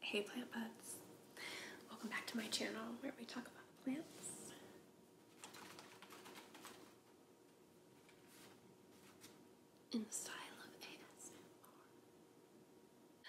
Hey plant buds, welcome back to my channel where we talk about plants. In the style of ASMR.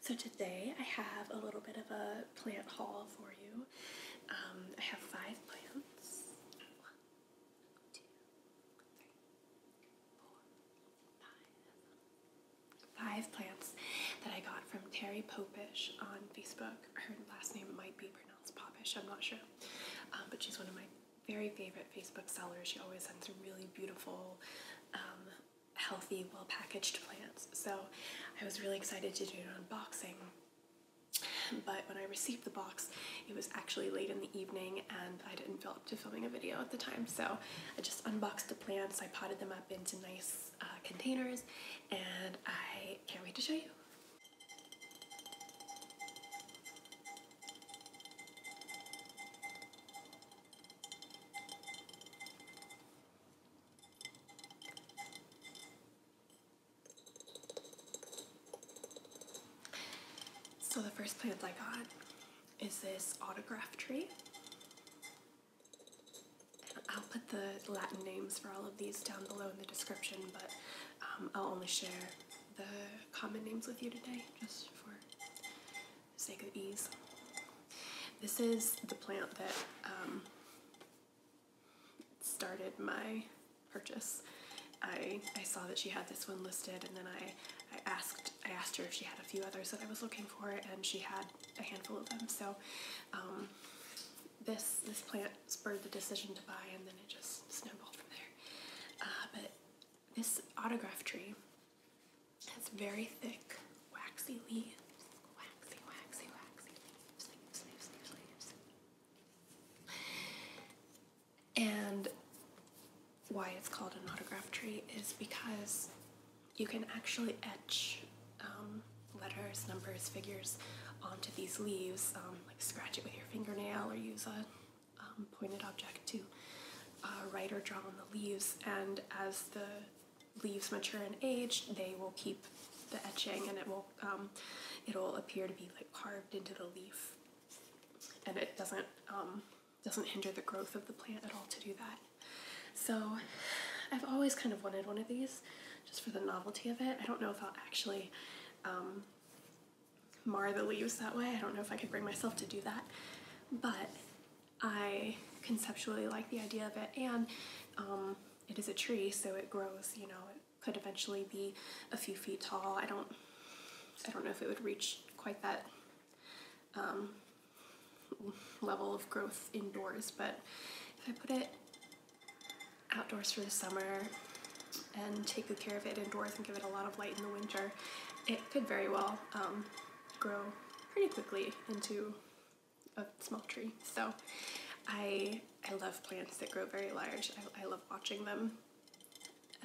So today I have a little bit of a plant haul for you. Um, I have five five plants. that I got from Terry Popish on Facebook. Her last name might be pronounced Popish, I'm not sure. Um, but she's one of my very favorite Facebook sellers. She always sends really beautiful, um, healthy, well packaged plants. So I was really excited to do an unboxing but when I received the box, it was actually late in the evening and I didn't feel up to filming a video at the time. So I just unboxed the plants. I potted them up into nice uh, containers and I can't wait to show you. So the first plant I got is this autograph tree. I'll put the Latin names for all of these down below in the description, but um, I'll only share the common names with you today, just for the sake of ease. This is the plant that um, started my purchase. I, I saw that she had this one listed and then I, I asked I asked her if she had a few others that I was looking for and she had a handful of them. So um, this this plant spurred the decision to buy and then it just snowballed from there. Uh, but this autograph tree has very thick waxy leaves. Waxy, waxy, waxy leaves, leaves, leaves, leaves. And why it's called an autograph tree is because you can actually etch um, letters, numbers, figures onto these leaves, um, like scratch it with your fingernail or use a um, pointed object to uh, write or draw on the leaves. And as the leaves mature and age, they will keep the etching and it will um, it'll appear to be like carved into the leaf, and it doesn't um, doesn't hinder the growth of the plant at all to do that. So I've always kind of wanted one of these just for the novelty of it. I don't know if I'll actually um, mar the leaves that way. I don't know if I could bring myself to do that, but I conceptually like the idea of it and it is a tree so it grows, you know, could eventually be a few feet tall. I don't I don't know if it would reach quite that um, level of growth indoors, but if I put it outdoors for the summer and take good care of it indoors and give it a lot of light in the winter, it could very well um, grow pretty quickly into a small tree. So I I love plants that grow very large. I, love watching them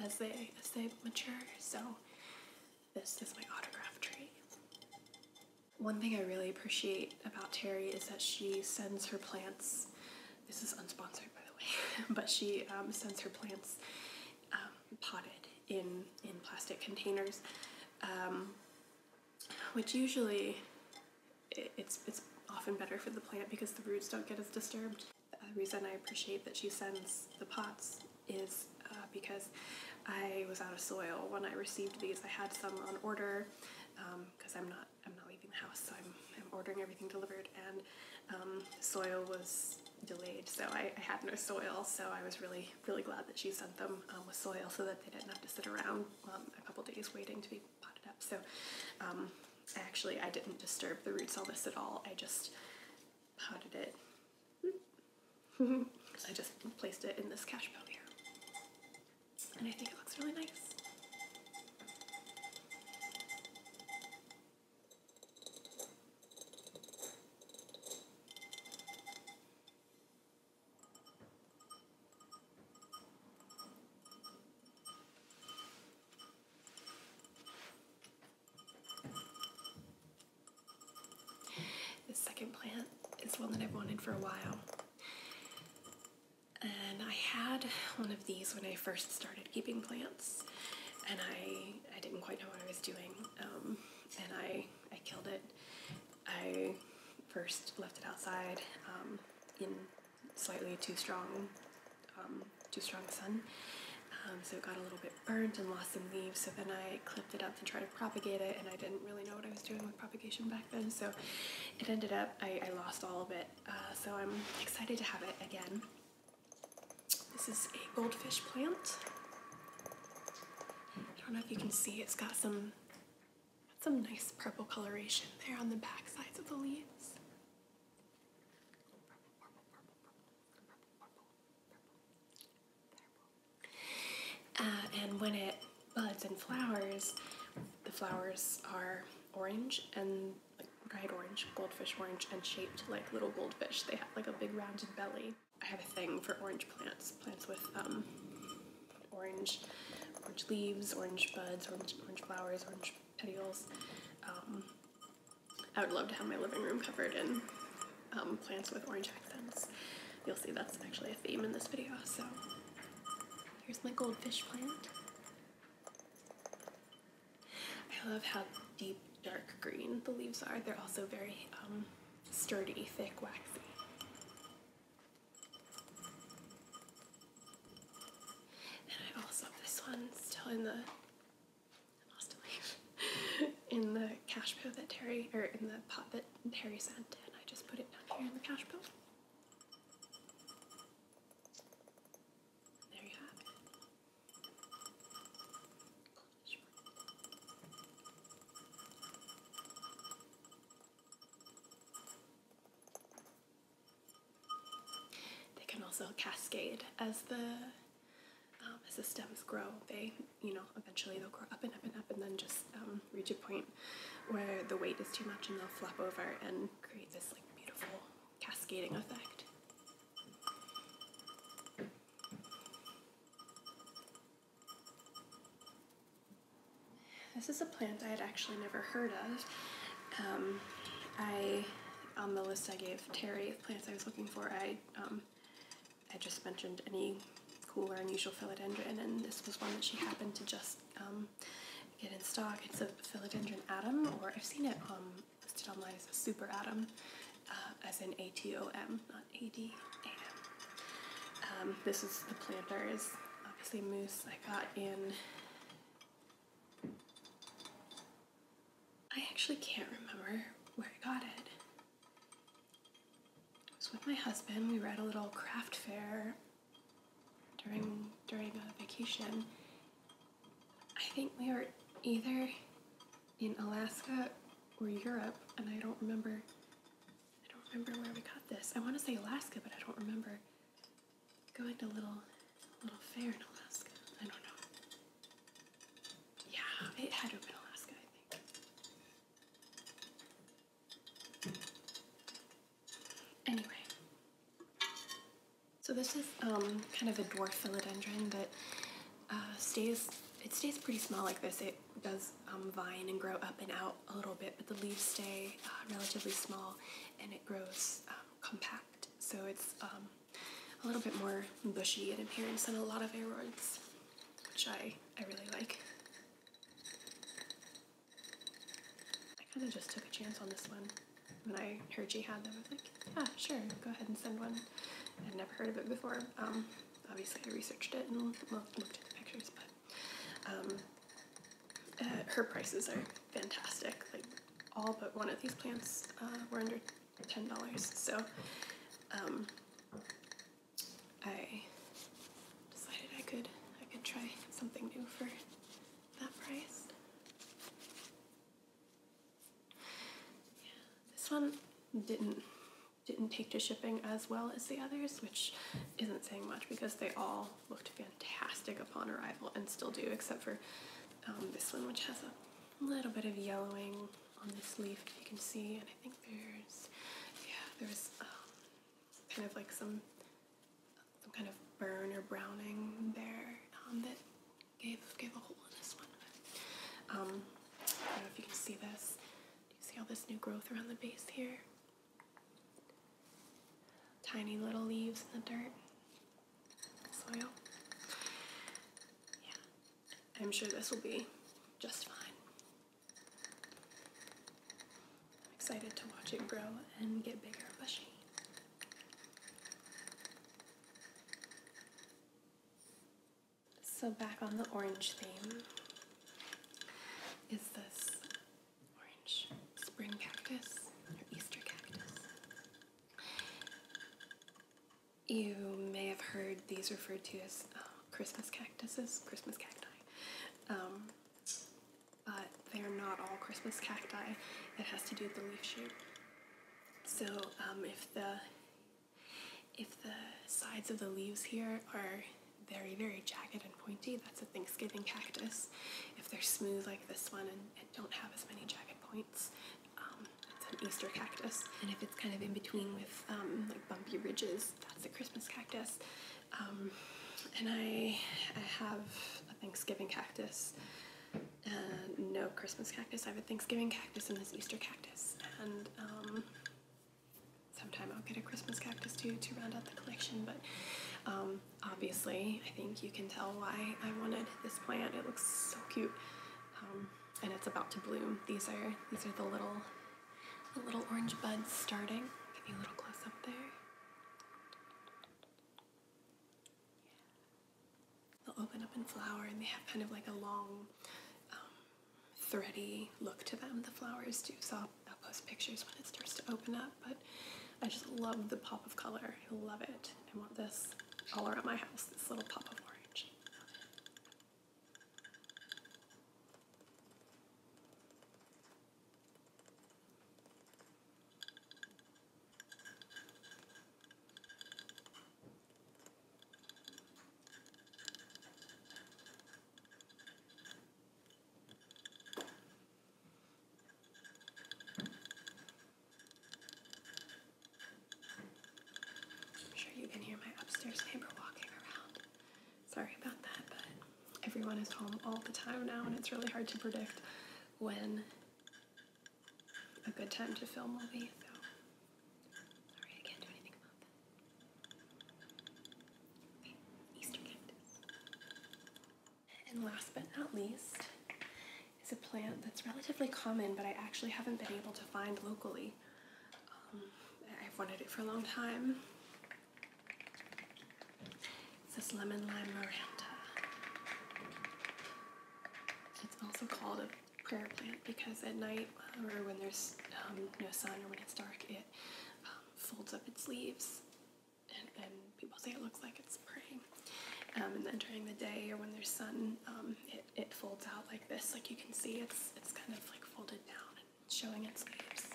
as they as they mature. So this is my autograph tree. One thing I really appreciate about Terry is that she sends her plants. This is unsponsored, by the way, but she um, sends her plants um, potted in in plastic containers, um, which usually it's, it's often better for the plant because the roots don't get as disturbed. The reason I appreciate that she sends the pots is uh, because I was out of soil when I received these. I had some on order because um, I'm not I'm not leaving the house, so I'm, I'm ordering everything delivered, and um, soil was delayed, so I, had no soil, so I was really, really glad that she sent them um, with soil so that they didn't have to sit around a couple days waiting to be potted up. So um, actually I didn't disturb the roots all this at all. I just potted it. I just placed it in this cash pot here. And I think it looks really nice. This second plant is one that I've wanted for a while. And I had one of these when I first started keeping plants, and I, I didn't quite know what I was doing, um, and I, I killed it. I first left it outside um, in slightly too strong, um, too strong sun. Um, so it got a little bit burnt and lost some leaves. So then I clipped it up to try to propagate it, and I didn't really know what I was doing with propagation back then. So it ended up, I, lost all of it. Uh, so I'm excited to have it again. This is a goldfish plant. I don't know if you can see, it's got some some nice purple coloration there on the back sides of the leaves. Uh, and when it buds and flowers, the flowers are orange and like bright orange, goldfish orange, and shaped like little goldfish. They have like a big rounded belly. I have a thing for orange plants, plants with um, orange orange leaves, orange buds, orange, orange flowers, orange petioles. Um, I would love to have my living room covered in um, plants with orange accents. You'll see that's actually a theme in this video, so here's my goldfish plant. I love how deep dark green the leaves are. They're also very um, sturdy, thick, waxy. Then I also this one still in the lost in the cash bill that Terry or in the pot that Terry sent and I just put it down here in the cash bill. There you have they can also cascade as the um, as the stems grow. They, you know, eventually they'll grow up and up and up, and then just um, reach a point where the weight is too much, and they'll flop over and create this like beautiful cascading effect. This is a plant I had actually never heard of. Um, I, on the list I gave Terry of plants I was looking for, I, um, I just mentioned any cool or unusual philodendron, and this was one that she happened to just um, get in stock. It's a philodendron atom, or I've seen it listed on my super atom, uh, as in A-T-O-M, not A-D-A-M. this is the planter is obviously moose I got in I actually can't remember where I got it. It was with my husband. We were at a little craft fair during during a vacation. I think we were either in Alaska or Europe, and I don't remember. I don't remember where we got this. I want to say Alaska, but I don't remember going to little little fair in Alaska. I don't know. Yeah, it had to be in Alaska, I think. Anyway, so this is um, kind of a dwarf philodendron that uh, stays. It stays pretty small like this. It does um, vine and grow up and out a little bit, but the leaves stay uh, relatively small, and it grows. Um, compact, so it's um, a little bit more bushy in appearance than a lot of aroids, which I, I really like. I kind of just took a chance on this one. When I heard she had them, I was like, yeah, sure, go ahead and send one. I'd never heard of it before. Um, obviously, I researched it and looked at the pictures, but um, uh, her prices are fantastic. Like all but one of these plants uh, were under ten dollars. So um, I decided I could I could try something new for that price. Yeah, this one didn't didn't take to shipping as well as the others, which isn't saying much because they all looked fantastic upon arrival and still do, except for um, this one, which has a little bit of yellowing on this leaf, if you can see. And I think there's, yeah, there's um, kind of like some, some kind of burn or browning there um, that gave gave a hole in this one. I don't know if you can see this. Do you see all this new growth around the base here? Tiny little leaves in the dirt soil. Yeah, I'm sure this will be just fine. I'm excited to watch it grow and get bigger and bushy. So back on the orange theme is this orange spring cactus or Easter cactus. You may have heard these referred to as uh, Christmas cactuses, Christmas cacti. Um, but they're not all Christmas cacti. It has to do with the leaf shape. So um, if the if the sides of the leaves here are very, very jagged and pointy, that's a Thanksgiving cactus. If they're smooth like this one and, don't have as many jagged points. Um, it's an Easter cactus, and if it's kind of in between with um, like bumpy ridges, that's a Christmas cactus. Um, and I, I have a Thanksgiving cactus. no Christmas cactus. I have a Thanksgiving cactus and this Easter cactus. And um, sometime I'll get a Christmas cactus too to round out the collection. But obviously. I think you can tell why I wanted this plant. It looks so cute. Um, and it's about to bloom. These are these are the little the little orange buds starting. Give you a little close up there. They'll open up and flower and they have kind of like a long um, thready look to them. The flowers do. So I'll post pictures when it starts to open up but I just love the pop of color. I love it. I want this all around my house, this little pop of orange. I'm sure you can hear my upstairs neighbor walking around. Sorry about that, but everyone is home all the time now, and it's really hard to predict when a good time to film will be. So, sorry, I can't do anything about that. Easter cactus. And last but not least is a plant that's relatively common, but I actually haven't been able to find locally. Um, I've wanted it for a long time. It's this lemon lime Miranda. It's also called a prayer plant because at night uh, or when there's um, no sun or when it's dark, it um, folds up its leaves and, people say it looks like it's praying. Um, and then during the day or when there's sun, um, it, it folds out like this. Like you can see, it's it's kind of like folded down showing its leaves.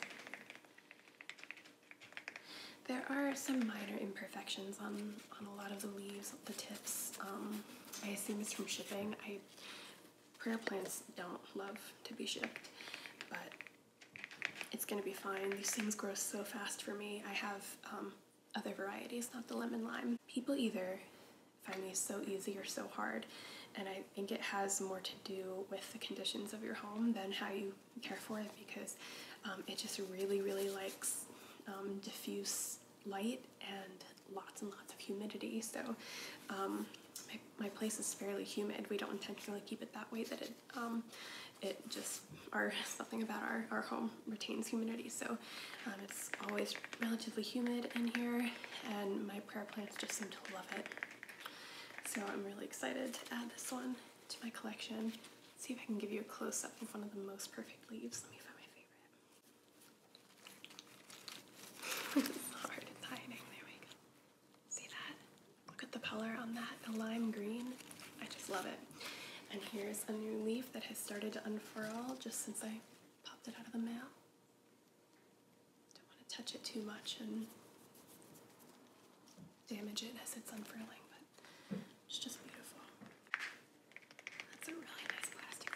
There are some minor imperfections on, on a lot of the leaves, the tips. Um, I assume it's from shipping. I prayer plants don't love to be shipped, but it's gonna be fine. These things grow so fast for me. I have other varieties, not the lemon lime. People either find me so easy or so hard, and I think it has more to do with the conditions of your home than how you care for it because um, it just really, really likes um, diffuse light and lots and lots of humidity. So um, my place is fairly humid. We don't intentionally keep it that way that it um, it just, our, something about our, our home retains humidity, so um, it's always relatively humid in here, and my prayer plants just seem to love it. So I'm really excited to add this one to my collection. see if I can give you a close-up of one of the most perfect leaves. Let me find my favorite. it's hard, hiding, there we go. See that? Look at the color on that, the lime green. I just love it. And here's a new leaf that has started to unfurl just since I popped it out of the mail. Don't want to touch it too much and damage it as it's unfurling, but it's just beautiful. That's a really nice plastic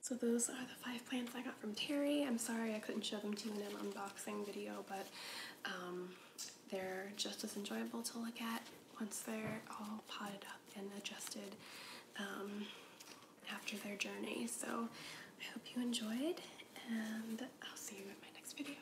So those are the five plants I got from Terry. I'm sorry I couldn't show them to you in an unboxing video, but um, they're just as enjoyable to look at once they're all potted up and adjusted um, after their journey. So I hope you enjoyed, and I'll see you in my next video.